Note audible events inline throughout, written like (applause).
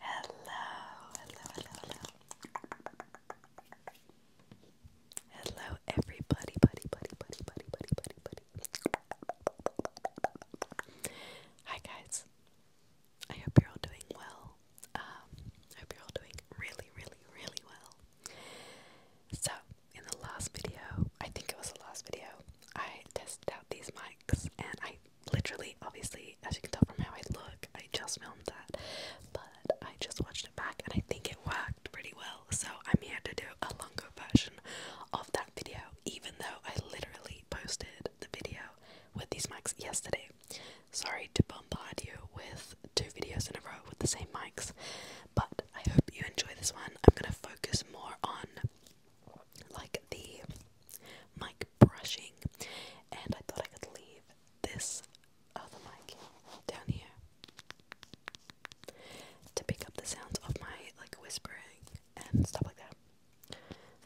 Hello, hello, hello, hello. Hello, everybody, buddy, buddy, buddy, buddy, buddy, buddy, buddy. Hi, guys. I hope you're all doing well. Um, I hope you're all doing really, really, really well. So, in the last video, I think it was the last video, I tested out these mics and I literally obviously as you can tell from how I look I just filmed that but I just watched it back and I think it worked pretty well so I'm here to do a longer version of that video even though I literally posted the video with these mics yesterday. Sorry to bombard you with two videos in a row with the same mics but I hope you enjoy this one. I'm gonna focus more on like the mic brushing, and I thought I could leave this other mic down here to pick up the sounds of my like whispering and stuff like that.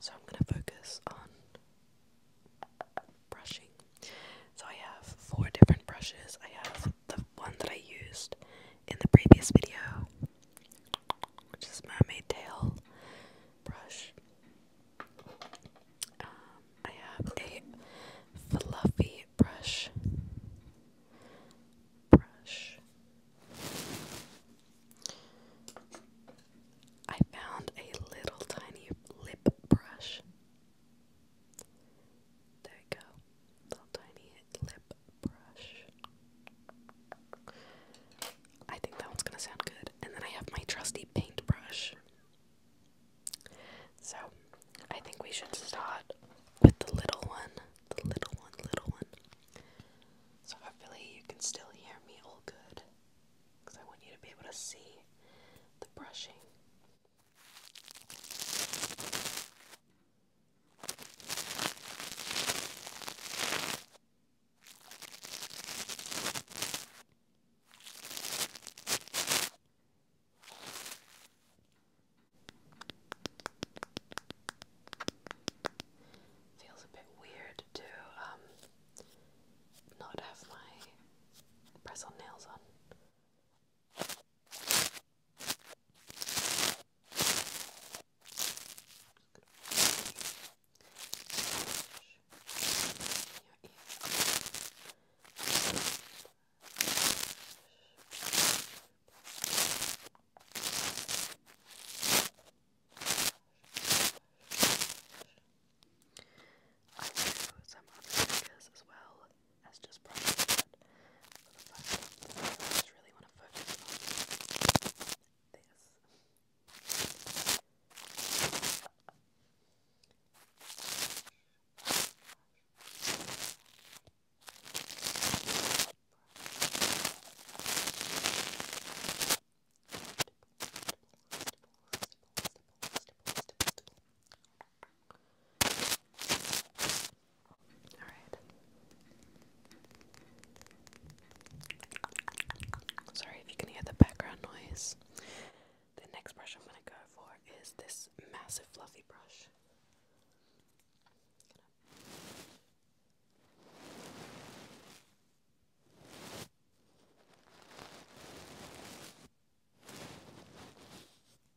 So I'm gonna focus on brushing. So I have four different brushes. I have the one that I used in the previous video which is mermaid tail brush. Um, I have a fluffy brush. Brush. I found a little tiny lip brush. There you go. Little tiny lip I think that one's gonna sound good. And then I have my trusty paintbrush. So I think we should start with the little one. The little one, little one. So hopefully you can still hear me all good. Because I want you to be able to see the brushing. Feels a bit weird to um not have my press on nails on. I do some other triggers as well as just but for the first time, I just really want to focus on this. Stipple, stipple, stipple, stipple, stipple, stipple. Sorry if you can hear the background noise. The next brush I'm going to go for is this massive fluffy brush.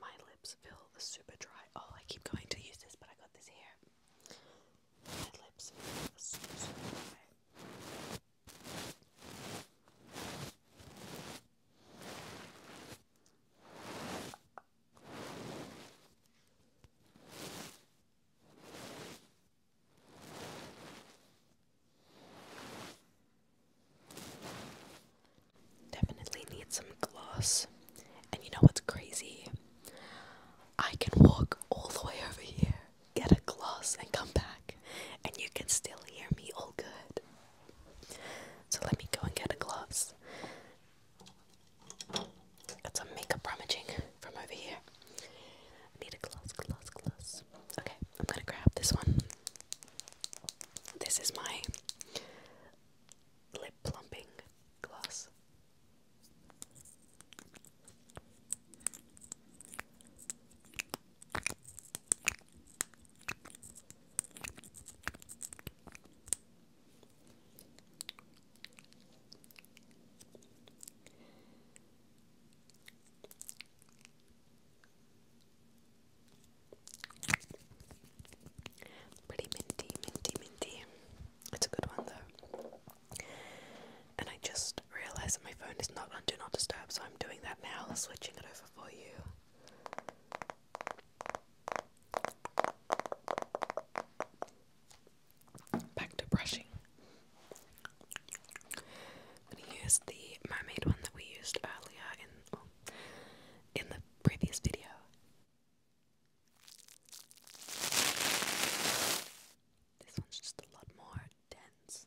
My lips feel super dry. Oh, I keep going to use this, but I got this here. My lips feel super, dry. Definitely need some gloss. And you know what's crazy? I can walk all the way over here, get a gloss, and come back, and you can still hear me all good. So let me go and get a gloss. Got some makeup rummaging from over here. I need a gloss, gloss, gloss. Okay, I'm gonna grab this one. This is my lip plumping gloss. Pretty minty, minty, minty. It's a good one though. And I just realised that my phone is not on Do Not Disturb, so I'm doing that now, switching it over for you. Back to brushing. I'm gonna use the mermaid one that we used earlier in oh, in the previous video. This one's just a lot more dense.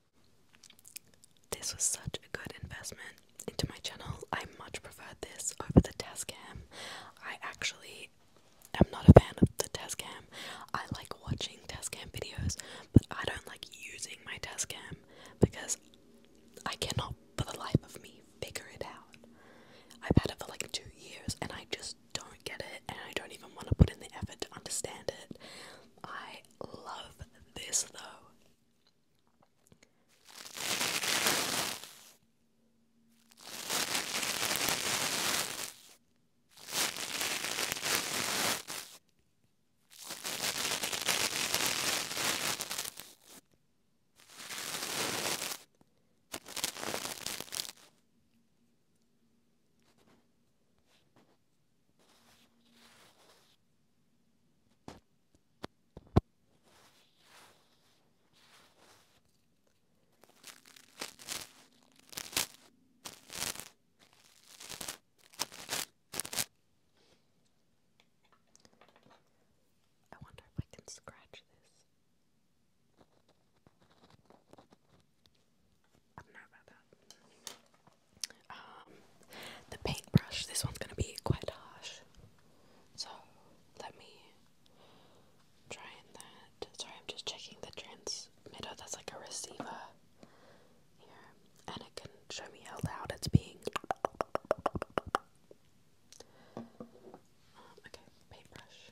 This was such a good investment into my channel. I much prefer this over the cam. I actually am not a fan of the cam. I like watching cam videos, but I don't like using my cam because I cannot for the life of me figure it out. I've had it for like two years and I just don't get it and I don't even want to put in the effort to understand it. I love this though. I wonder if I can scratch this. Um, the paintbrush. This one's gonna be quite harsh, so let me try that. Sorry, I'm just checking the transmitter. That's like a receiver here, and it can show me how loud it's being. Um, okay, paintbrush.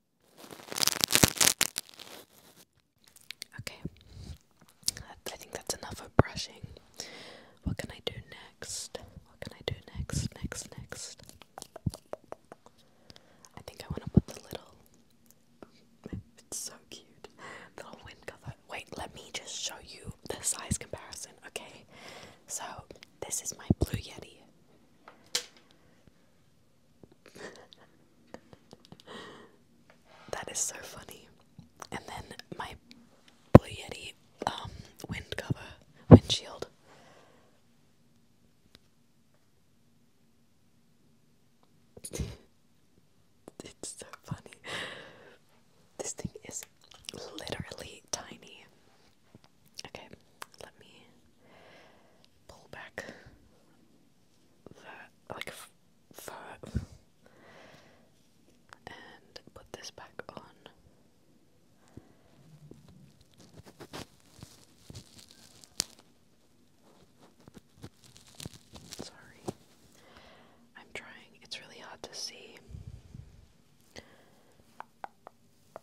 Okay, I think that's enough of brushing. What can I do next? What can I do next? Next, next. I think I want to put the little. It's so cute. little wind cover. Wait, let me just show you the size comparison, okay? So, this is my Blue Yeti that is so funny. And then my Blue um, wind cover, windshield. (laughs) it's so funny. This thing is literally tiny. Okay, let me pull back that like fur and put this back on. Sorry, I'm trying. It's really hard to see.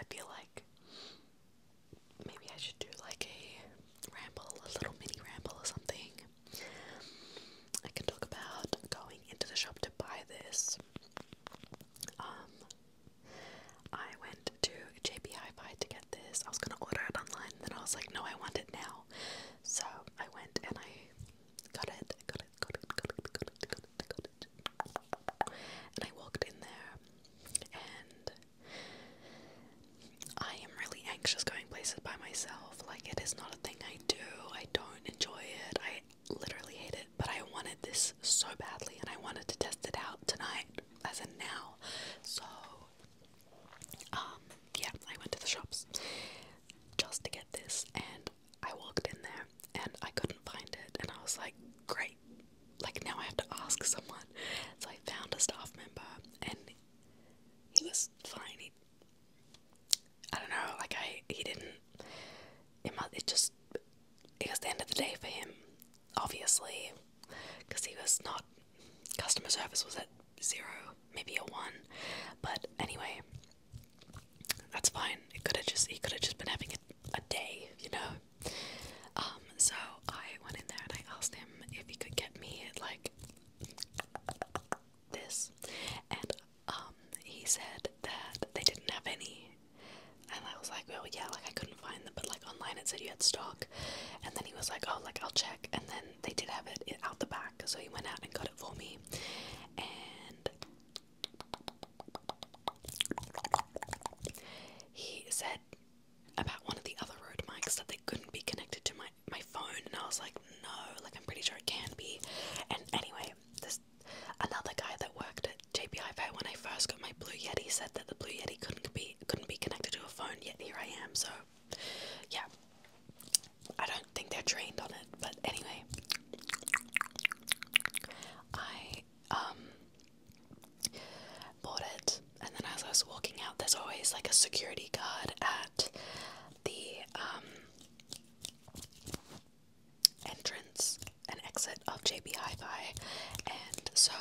I feel like maybe I should do like a ramble, a little mini ramble or something. I can talk about going into the shop to buy this. Um, I went to JB Hi-Fi to get this. I was gonna order it online, then I was like, no, I want it now. So I went and I got it, got it, got it, got it, got it, got got it. And I walked in there, and I am really anxious going places by myself. Like it is not a thing I do. I don't enjoy it. I literally hate it. But I wanted this so badly, and I wanted to test it out tonight as of now. So, um, yeah, I went to the shops just to get this, and I walked in there and I couldn't find it, and I was like, great, like now I have to ask someone. So I found a staff member, and he was fine. He, I don't know, like I, he didn't. It must. It just it was the end of the day for him, obviously, because he was not. Customer service was at zero, maybe a one, but anyway, that's fine. It could have just he could have just been having a, a day, you know. Um, so I went in there and I asked him if he could get me like this, and um, he said that they didn't have any and I was like, oh yeah, like I couldn't find them, but like online it said you had stock. And then he was like, oh, like I'll check. And then they did have it out the back, so he went out and got it for me. And he said about one of the other Rode mics that they couldn't be connected to my my phone, and I was like, no, like I'm pretty sure it can be. And anyway, this another guy that worked at JPI Fay, when I first got my Blue Yeti, said that the Blue Yeti couldn't be couldn't be connected to a phone. Yet here I am. So, yeah, I don't think they're trained on it. But anyway, I um bought it, and then as I was walking out, there's always like a security guard at the um entrance an exit of JB Hi-Fi, and so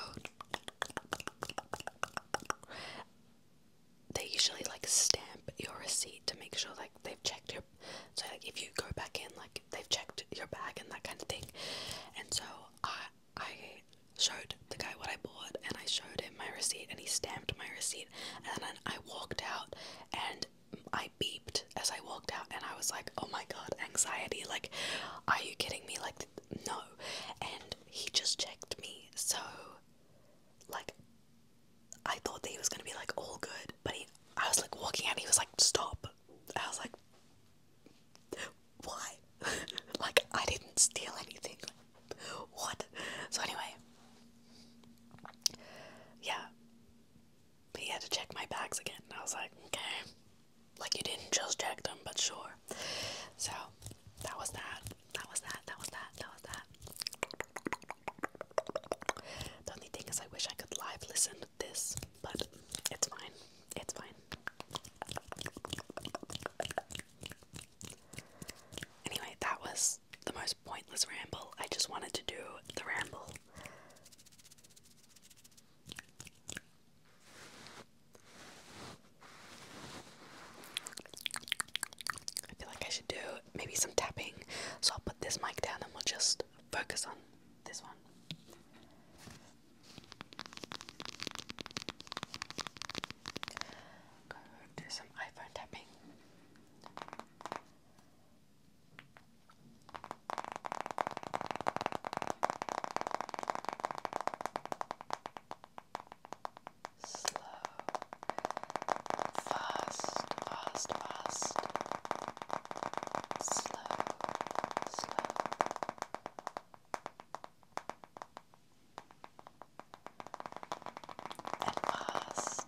they usually like stamp your receipt to make sure like they've checked your so like if you go back in like they've checked your bag and that kind of thing. And so I I showed the guy what I bought and I showed him my receipt and he stamped my receipt and then I walked out and I beeped as I walked out and I was like, oh my god, anxiety. Like, are you kidding me? Like, no. And he just checked me. So, like, I thought that he was gonna be like all good, but he, I was like walking out and he was like, stop. I was like, why? (laughs) like, I didn't steal anything. What? So, anyway, yeah he had to check my bags again. And I was like, okay, like you didn't just check them, but sure. So that was that. That was that. That was that. That was that. The only thing is, I wish I could live listen to this, but it's fine. It's fine. Anyway, that was the most pointless ramble. I just wanted to do the ramble. I feel like I should do maybe some tapping. So I'll put this mic down and we'll just focus on this one. do some iPhone tapping. Slow, fast, fast, fast, slow, slow. And fast,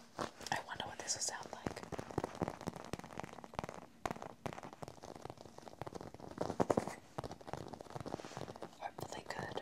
I wonder what this will sound like. Hopefully, good.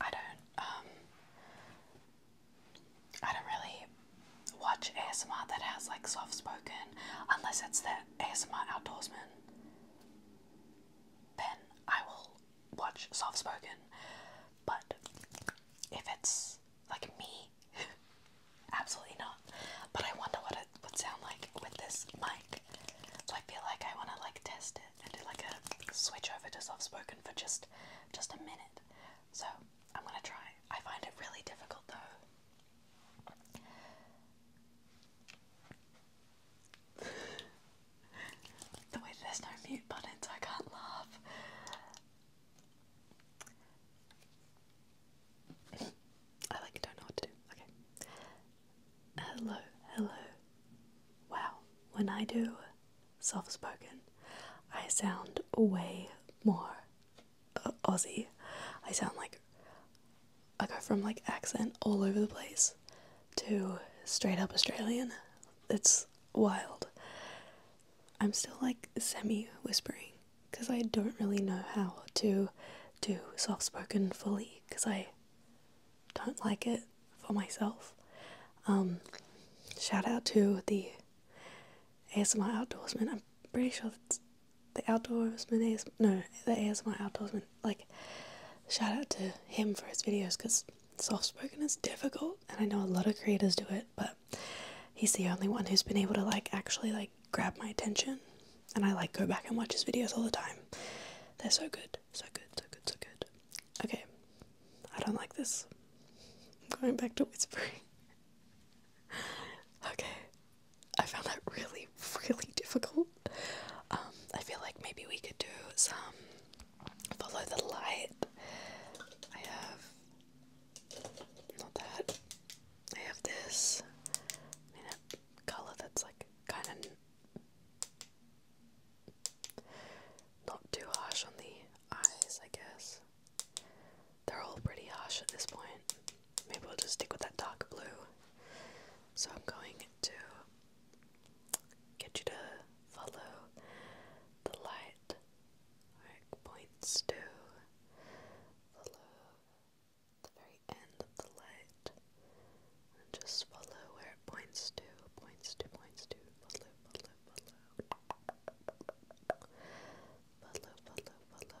I don't um, I don't really watch ASMR that has like soft spoken unless it's the ASMR outdoorsman. Then I will watch soft spoken. But if it's like me (laughs) Absolutely not. But I wonder what it would sound like with this mic. So I feel like I want to like test it and do like a switch over to soft spoken for just just a minute. So I'm gonna try. I find it really difficult though. (laughs) the way there's no mute button I can't laugh. I like don't know what to do. Okay. Hello, hello. Wow, when I do self spoken, I sound way more uh, Aussie. I sound like I go from like accent all over the place to straight up Australian. It's wild. I'm still like semi whispering because I don't really know how to do soft spoken fully because I don't like it for myself. Um, shout out to the ASMR outdoorsman. I'm pretty sure that's the outdoorsman AS no the ASMR outdoorsman. Like shout out to him for his videos because soft spoken is difficult, and I know a lot of creators do it, but he's the only one who's been able to like actually like grab my attention and I like go back and watch his videos all the time. They're so good. So good, so good, so good. Okay. I don't like this. I'm going back to whispering. (laughs) okay. I found that really, really difficult. Um, I feel like maybe we could do some follow the light. I have not that. I have this in a color that's like kind of not too harsh on the eyes, I guess. They're all pretty harsh at this point. Maybe we'll just stick with that dark blue. So I'm going to get you to follow the light where points to Follow the very end of the light and just follow where it points to, points to, points to, follow, follow, follow. Follow, follow, follow.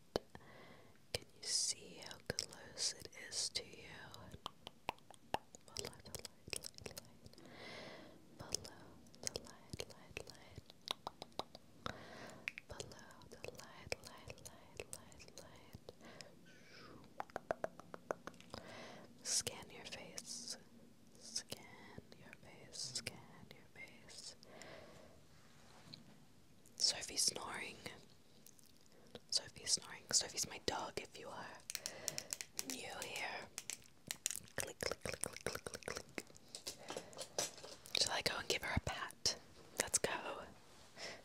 Can you see how close it is to you? Follow the light, light, light. Follow the light, light, light. Follow the light, light, light, light, light. Scan your face. Scan your face. Scan your face. Sophie's snoring. Sophie's snoring. Sophie's my dog if you are new here. Click, Shall I go and give her a pat? Let's go.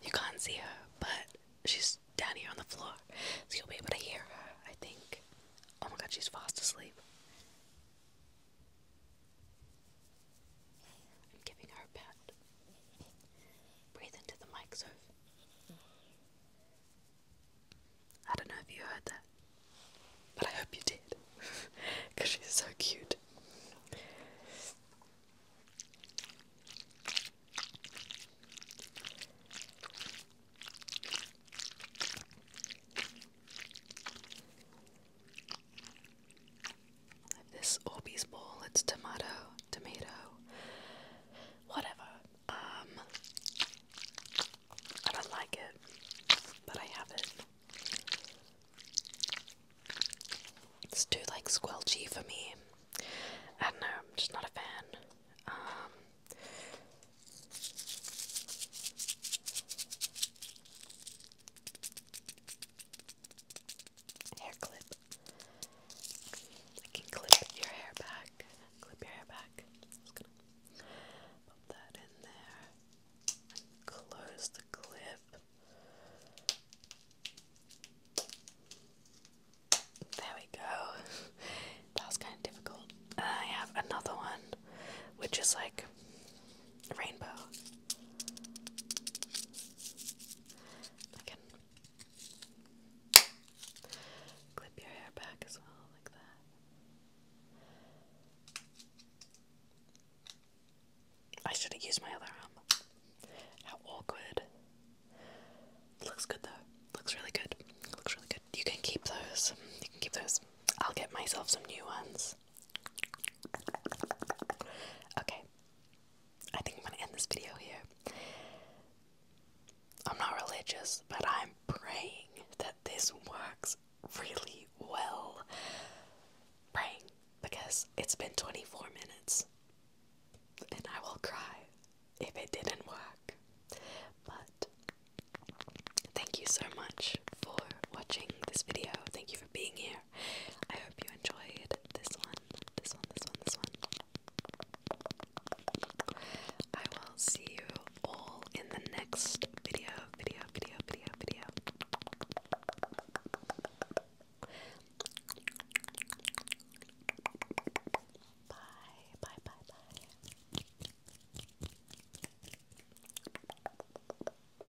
You can't see her, but she's down here on the floor, so you'll be able to hear her, I think. Oh my god, she's fast asleep. I'm giving her a pat. Breathe into the mic, Soph. I don't know if you heard that, but I hope you did, because (laughs) she's so cute. This Orbeez bowl, it's tomato, tomato, whatever. Um, I don't like it, but I have it. It's too like squelchy for me. I don't know, I'm just not a fan. Um, hair clip. I can clip your hair back. Clip your hair back. Just gonna pop that in there. close the clip. There we go. (laughs) that was kind of difficult. I have another one, which is like rainbow. I clip your hair back as well, like that. I should have used my other arm. How awkward. Looks good though. Looks really good. Looks really good. You can keep those. You can keep those. I'll get myself some new ones. Okay. I think I'm gonna end this video here. I'm not religious, but I'm praying that this works really well. Praying because it's been 24 minutes and I will cry if it didn't work. But thank you so much for watching this video. Thank you for being here. I hope you enjoyed this one, this one, this one, this one. I will see you all in the next video, video, video, video, video. Bye, bye, bye, bye.